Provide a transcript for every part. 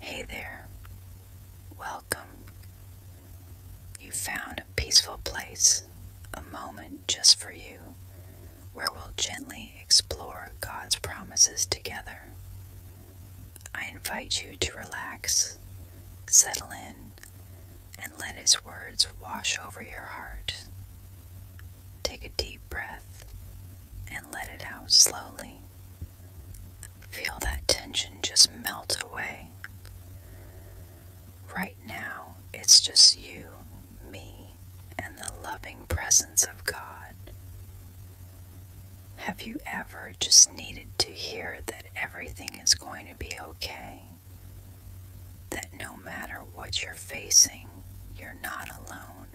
Hey there. Welcome. You found a peaceful place, a moment just for you, where we'll gently explore God's promises together. I invite you to relax, settle in, and let His words wash over your heart. Take a deep breath and let it out slowly. Feel that tension just melt away. Right now, it's just you, me, and the loving presence of God. Have you ever just needed to hear that everything is going to be okay? That no matter what you're facing, you're not alone,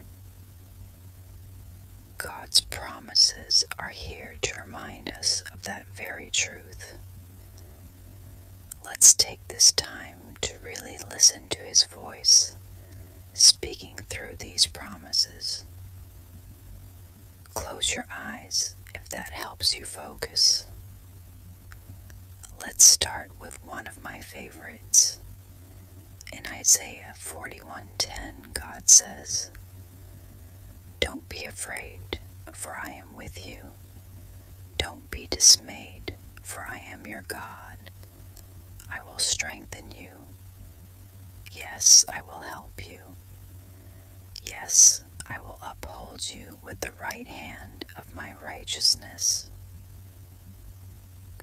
God's promises are here to remind us of that very truth. Let's take this time to really listen to His voice speaking through these promises. Close your eyes if that helps you focus. Let's start with one of my favorites in Isaiah 41:10, God says, Don't be afraid, for I am with you. Don't be dismayed, for I am your God. I will strengthen you. Yes, I will help you. Yes, I will uphold you with the right hand of my righteousness.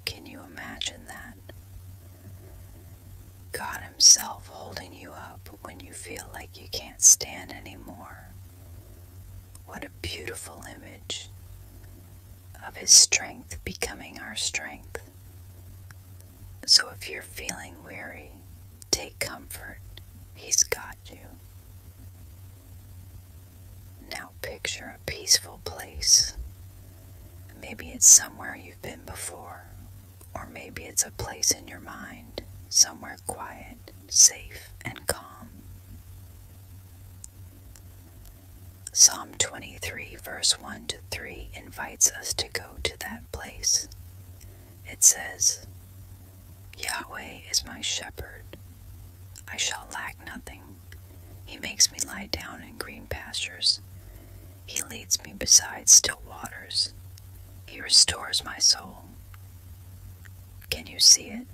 Can you imagine that? God Himself holding you up when you feel like you can't stand anymore. What a beautiful image of His strength becoming our strength. So if you're feeling weary, take comfort. He's got you. Now picture a peaceful place Maybe it's somewhere you've been before, or maybe it's a place in your mind, somewhere quiet, safe, and calm. Psalm 23, verse 1 to 3, invites us to go to that place. It says, Yahweh is my shepherd. I shall lack nothing. He makes me lie down in green pastures. He leads me beside still waters. He restores my soul. Can you see it?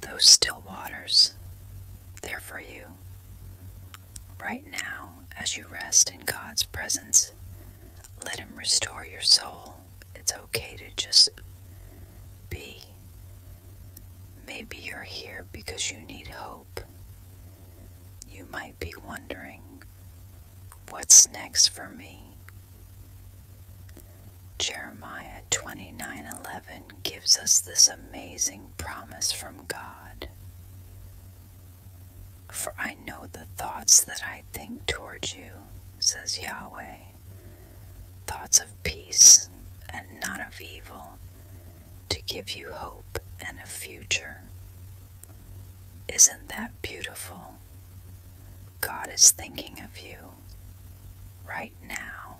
Those still waters. They're for you. Right now, as you rest in God's presence, let Him restore your soul. It's okay to just be. Maybe you're here because you need hope. You might be wondering, what's next for me? Jeremiah 29:11 gives us this amazing promise from God. For I know the thoughts that I think toward you, says Yahweh, thoughts of peace and not of evil, to give you hope and a future. Isn't that beautiful? God is thinking of you right now.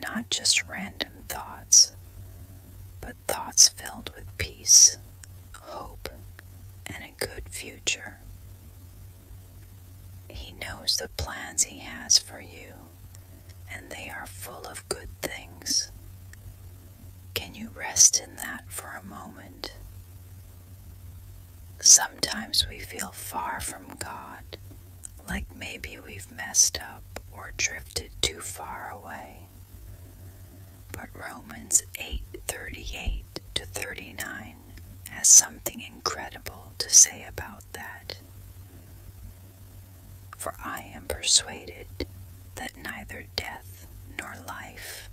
Not just random thoughts, but thoughts filled with peace, hope, and a good future. He knows the plans He has for you and they are full of good things. Can you rest in that for a moment? Sometimes we feel far from God, like maybe we've messed up or drifted too far away. But Romans 8:38 to 39 has something incredible to say about that. For I am persuaded that neither death, nor life,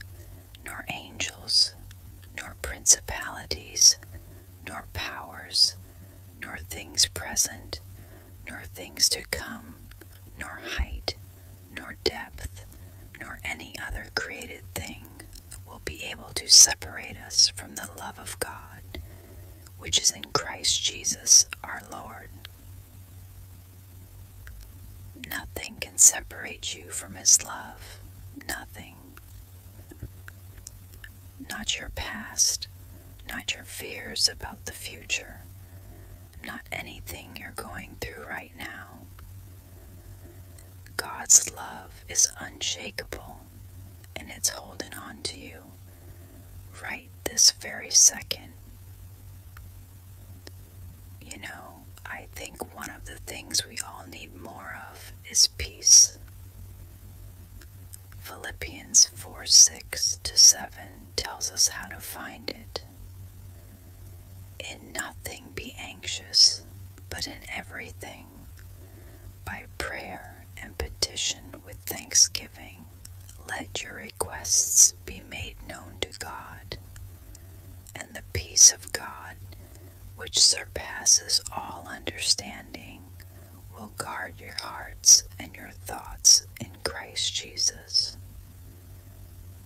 nor angels, nor principalities, nor powers, nor things present, nor things to come, nor height, nor depth, nor any other created thing will be able to separate us from the love of God which is in Christ Jesus our Lord. Nothing can separate you from His love. Nothing. Not your past, not your fears about the future, not anything you're going through right now. God's love is unshakable and it's holding on to you right this very second. You know, I think one of the things we all need more of is peace. Philippians 4 6 to 7 tells us how to find it. In nothing be anxious, but in everything, by prayer and petition with thanksgiving, let your requests be made known to God. And the peace of God, which surpasses all understanding, will guard your hearts and your thoughts in Christ Jesus.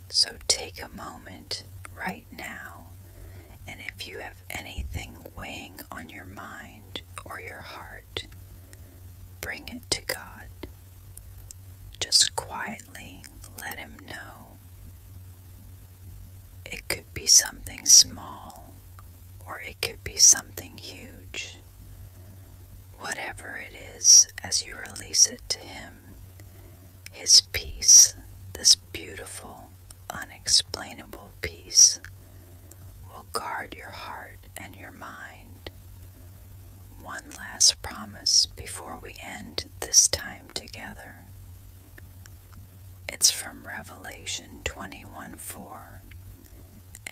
So take a moment right now, and if you have anything weighing on your mind or your heart, Bring it to God. Just quietly let Him know. It could be something small, or it could be something huge. Whatever it is, as you release it to Him, His peace, this beautiful, unexplainable peace, will guard your heart and your mind. One last promise before we end this time together. It's from Revelation 21 4,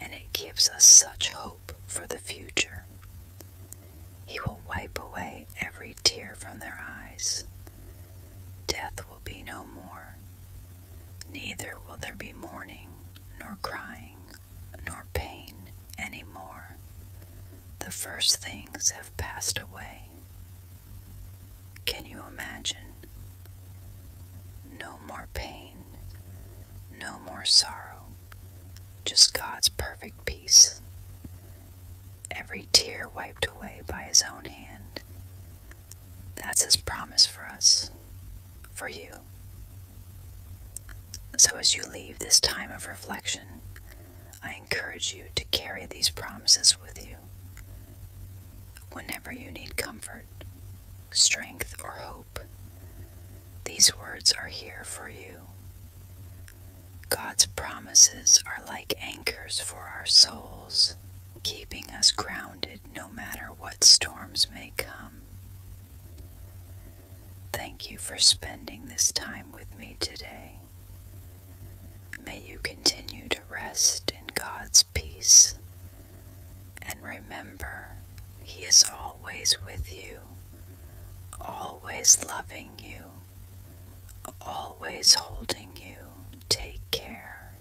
and it gives us such hope for the future. He will wipe away every tear from their eyes. Death will be no more, Neither will there be mourning, nor crying, nor pain any more. The first things have passed away. Can you imagine? No more pain, no more sorrow, just God's perfect peace. Every tear wiped away by His own hand, that's his promise for us, for you. So, as you leave this time of reflection, I encourage you to carry these promises with you whenever you need comfort, strength, or hope. These words are here for you. God's promises are like anchors for our souls, keeping us grounded no matter what storms may come. Thank you for spending this time with me today. May you continue to rest in God's peace. And remember, He is always with you, always loving you, always holding you. Take care.